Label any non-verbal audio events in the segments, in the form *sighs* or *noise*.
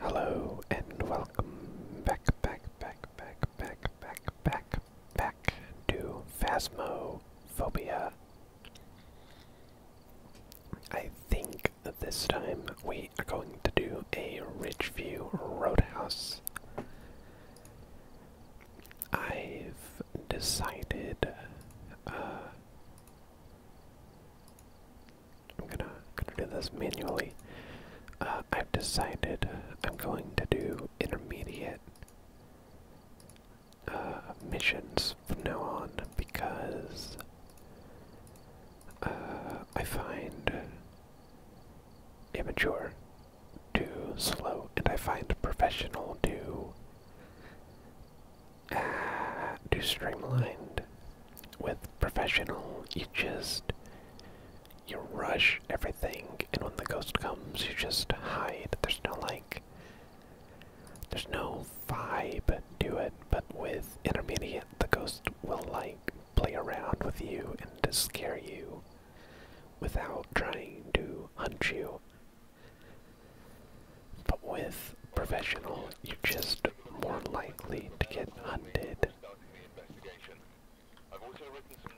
Hello and welcome back, back, back, back, back, back, back back to Phasmophobia. I think this time we are going to do a Ridgeview Roadhouse. I've decided uh, I'm gonna gonna do this manually. Uh, I've decided I'm going to do intermediate uh, missions from now on because uh, I find immature, too slow, and I find professional too uh, too streamlined. With professional, you just you rush everything, and when the ghost comes, you just hide. There's no like, there's no vibe to it. But with intermediate, the ghost will like play around with you and scare you without trying to hunt you. But with professional, you're just more likely to get hunted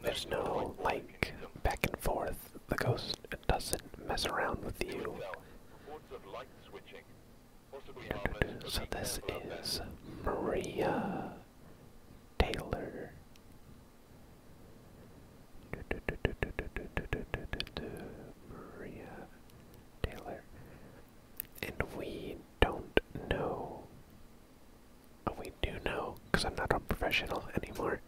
there's no, like, back and forth. The ghost doesn't mess around with you. So this is Maria Taylor. Maria Taylor. And we don't know we do know, because I'm not a professional anymore,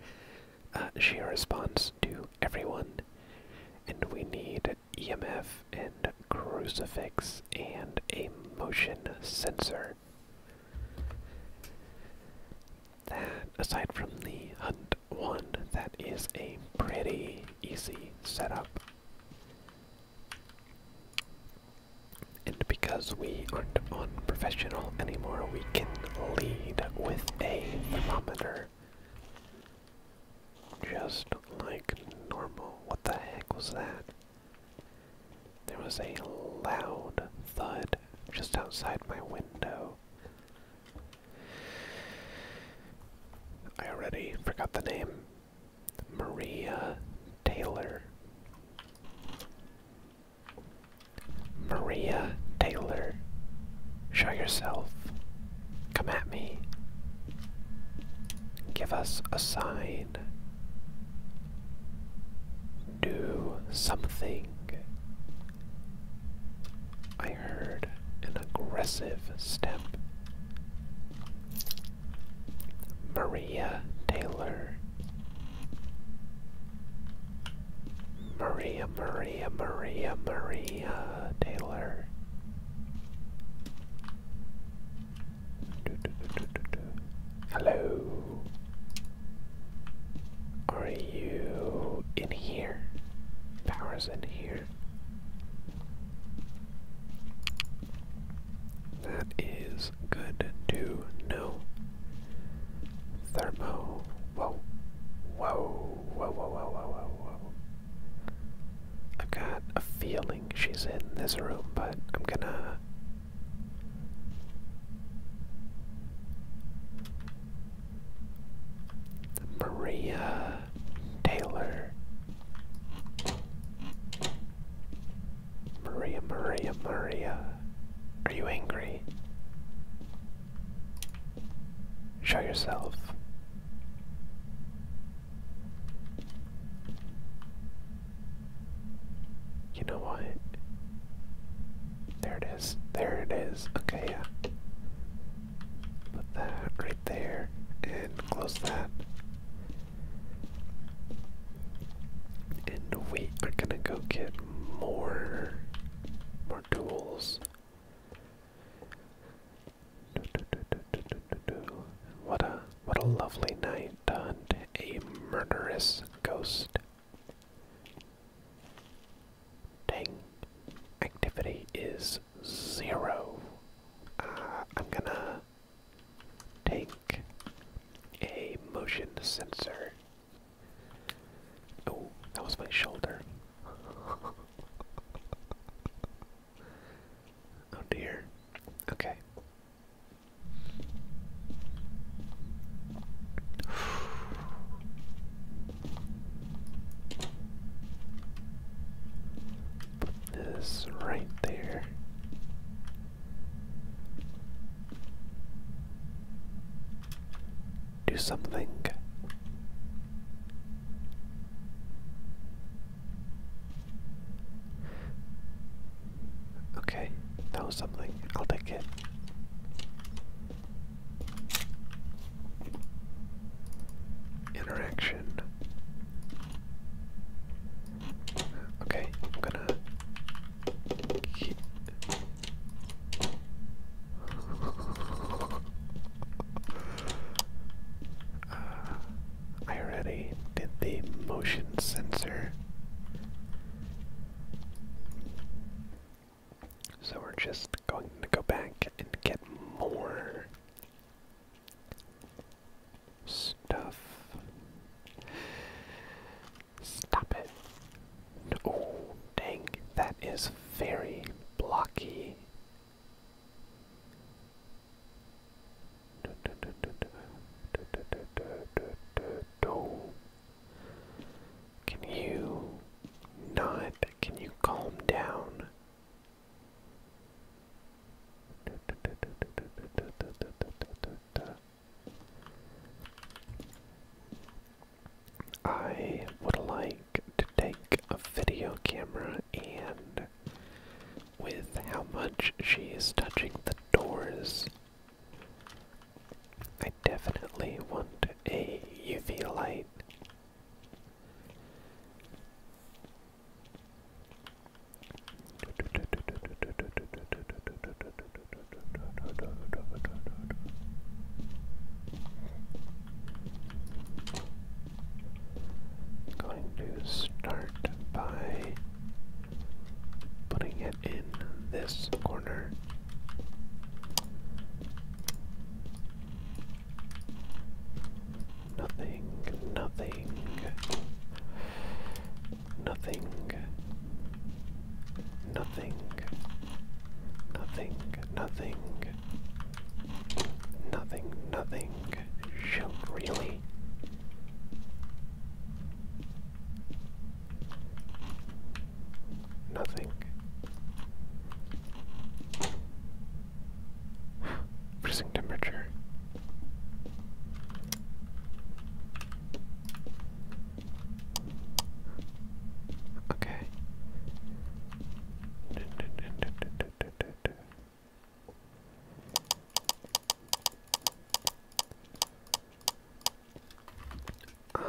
uh, she responds to everyone, and we need EMF and crucifix and a motion sensor. That, aside from the hunt one, that is a pretty easy setup. And because we aren't on professional anymore, we can lead with a thermometer. Just like normal. What the heck was that? There was a loud thud just outside my window. I already forgot the name. Maria Taylor. Maria Taylor. Show yourself. Come at me. Give us a sign. Do something. I heard an aggressive step. Maria Taylor, Maria, Maria, Maria, Maria Taylor. Hello. Are you in here? Power's in here. That is good to know. Thermo. Whoa. Whoa. Whoa, whoa, whoa, whoa, whoa, i got a feeling she's in this room, but I'm gonna. Maria Taylor. Maria, Maria, Maria. Are you angry? Show yourself. You know what? There it is. There it is. Okay, yeah. Put that right there and close that. And we are gonna go get more more tools. What a what a lovely night and a murderous ghost. Dang, activity is zero. Uh, I'm gonna Take A motion sensor. Oh, that was my shoulder. *laughs* oh dear. Okay. *sighs* Put this right there. Do something. Okay, that something. I'll take it. Interaction. Okay, I'm gonna. Uh, I already did the motion sensor. So we're just going to go back and get more stuff. Stop it. Oh, dang, that is very blocky. Can you not? Can you calm down? I would like to take a video camera and with how much she is touching the doors. I definitely want a UV light. I'm Going to start by putting it in this corner. Nothing, nothing, nothing, nothing, nothing, nothing, nothing, nothing. Shoot, really? Nothing. Freezing temperature. Okay. Uh,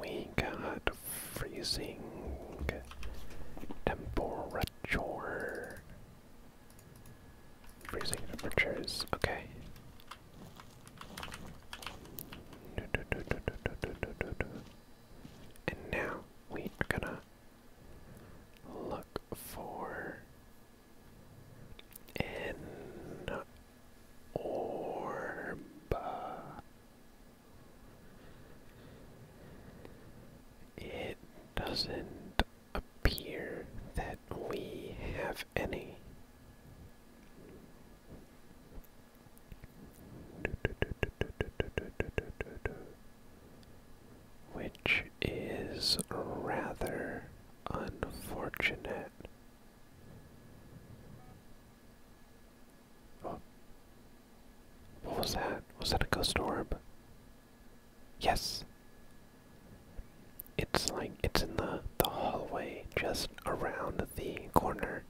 we got freezing temperature Freezing temperatures, okay. And now we are gonna look for an orb. It doesn't appear that we have any. Which is rather unfortunate. What was that? Was that a ghost orb? Yes. It's like it's in the the hallway just around the corner.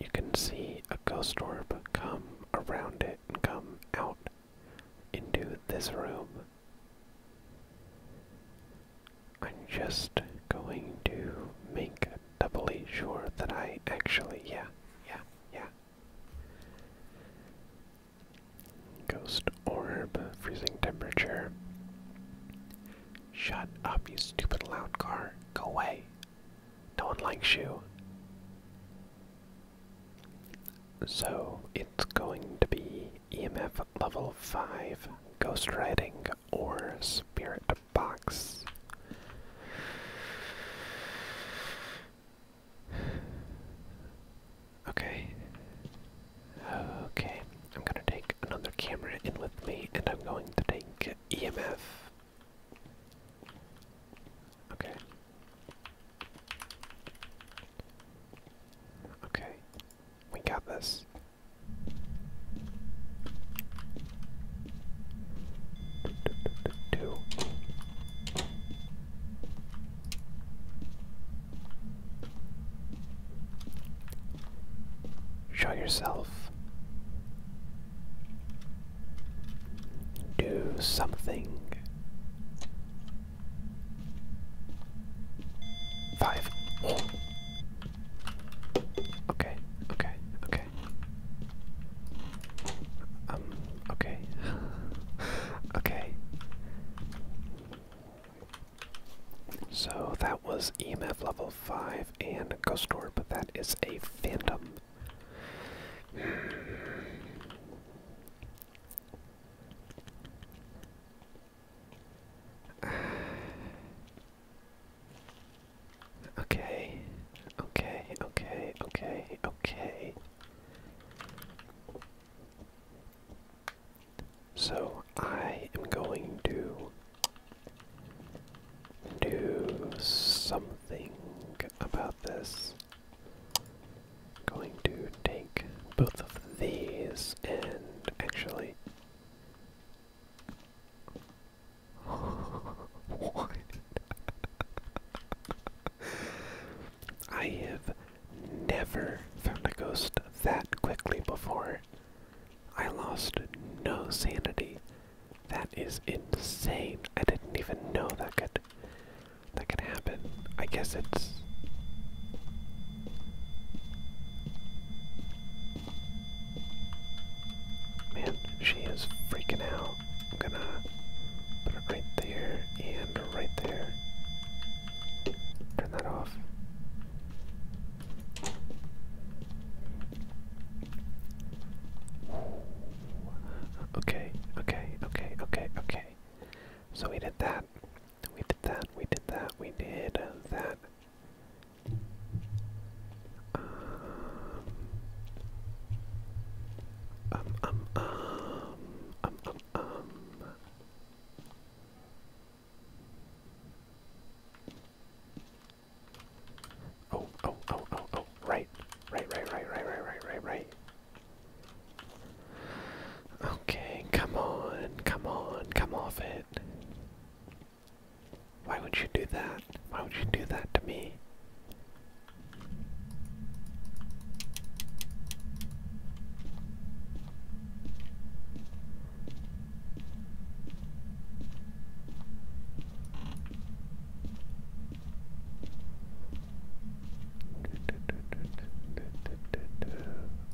You can see a ghost orb come around it and come out into this room. I'm just going to make doubly sure that I actually, yeah, yeah, yeah. Ghost orb, freezing temperature. Shut up, you stupid loud car. Go away. No one likes you. So it's going to be EMF level 5, ghost writing or spirit box. Okay. Okay. I'm gonna take another camera in with me and I'm going to take EMF. Okay. Okay. We got this. Do, Show yourself. Do something. Five. Okay, okay, okay. Um Okay. *sighs* okay. So that was EMF level 5 and Ghost Orb. That is a phantom. *sighs* okay. Okay, okay, okay, okay. So I am going to do something about this. going to take both of these and actually. *laughs* what? *laughs* I have never found a ghost that quickly before. I lost no sanity. That is insane. I didn't even know that could that could happen. I guess it's Man, she is freaking out. So I'm gonna put it right there and right there. Turn that off. Okay, okay, okay, okay, okay. So we did that. We did that. We did that. We did that. Um, um, um, um, um, um, um. Oh, oh, oh, oh, oh, right. Right, right, right, right, right, right, right, right. Okay, come on, come on, come off it. Why would you do that? Why would you do that to me?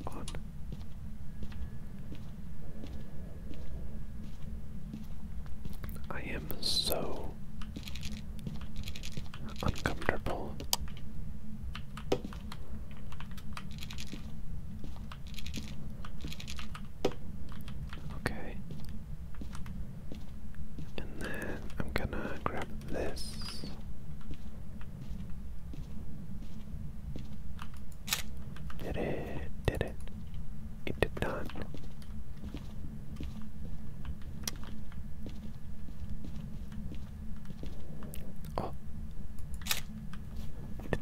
On. I am so uncomfortable. Okay. And then I'm gonna grab this. Did it, did it. It did Oh.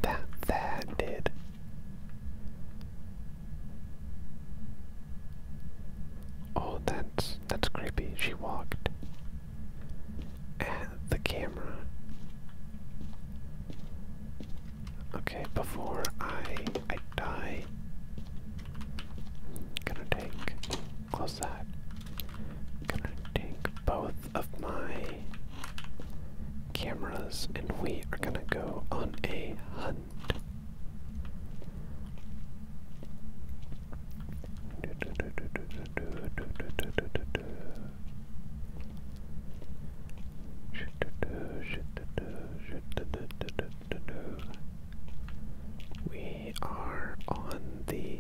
That that did. Oh, that's that's creepy. She walked at the camera. Okay, before I I die, gonna take close that. i gonna take both of my cameras, and we are gonna go on a hunt. *laughs* We are on the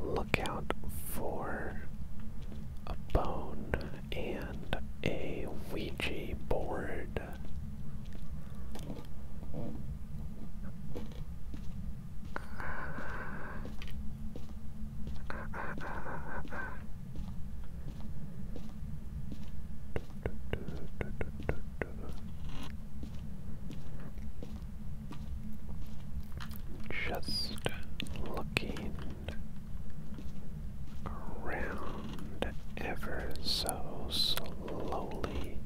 lookout for a bone and a Ouija board. Just looking around ever so slowly.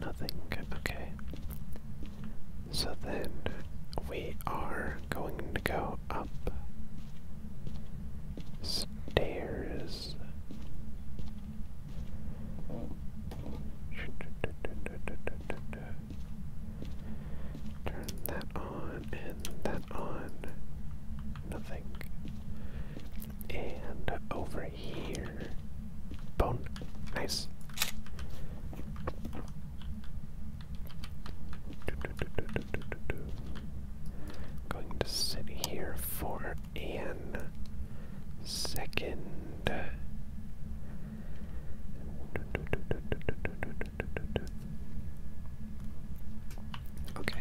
Nothing. Okay. So then we are going to go go Turn that on and that on. Nothing. And over here. Bone. Nice. Going to sit here for a second. Okay.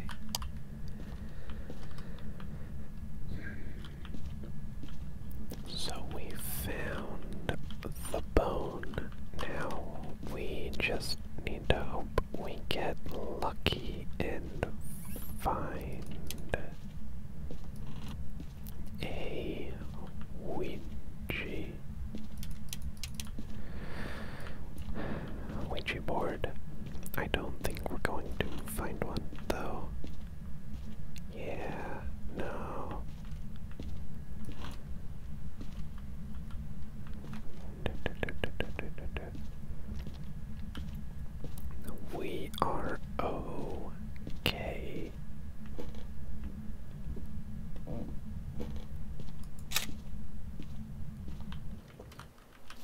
So we found the bone now we just need to hope we get lucky and find a witchy Ouija board. I don't think we're going to find one though. Yeah, no. We are okay.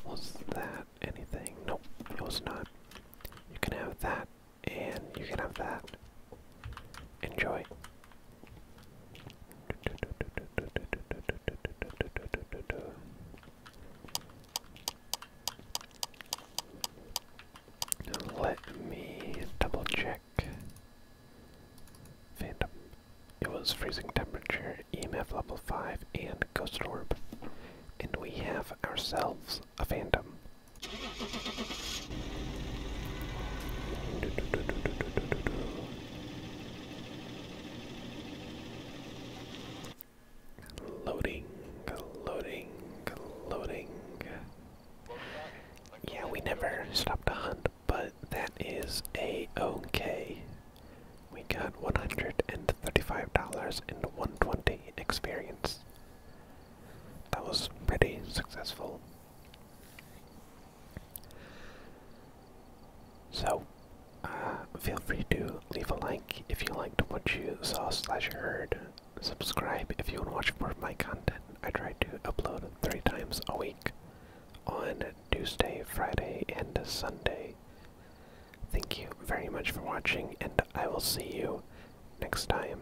Was that anything? Nope, it was not. You can have that, and you can have that. Enjoy. Let me double check. Phantom. It was freezing temperature, EMF level 5, and Ghost Orb. And we have ourselves a phantom. Loading, loading, loading. Yeah, we never stopped to hunt, but that is a okay. We got one hundred and thirty-five dollars and one twenty experience. That was pretty successful. So, uh, feel free to leave a like if you liked what you saw slash heard. Subscribe if you want to watch more of my content. I try to upload three times a week on Tuesday, Friday, and Sunday. Thank you very much for watching, and I will see you next time.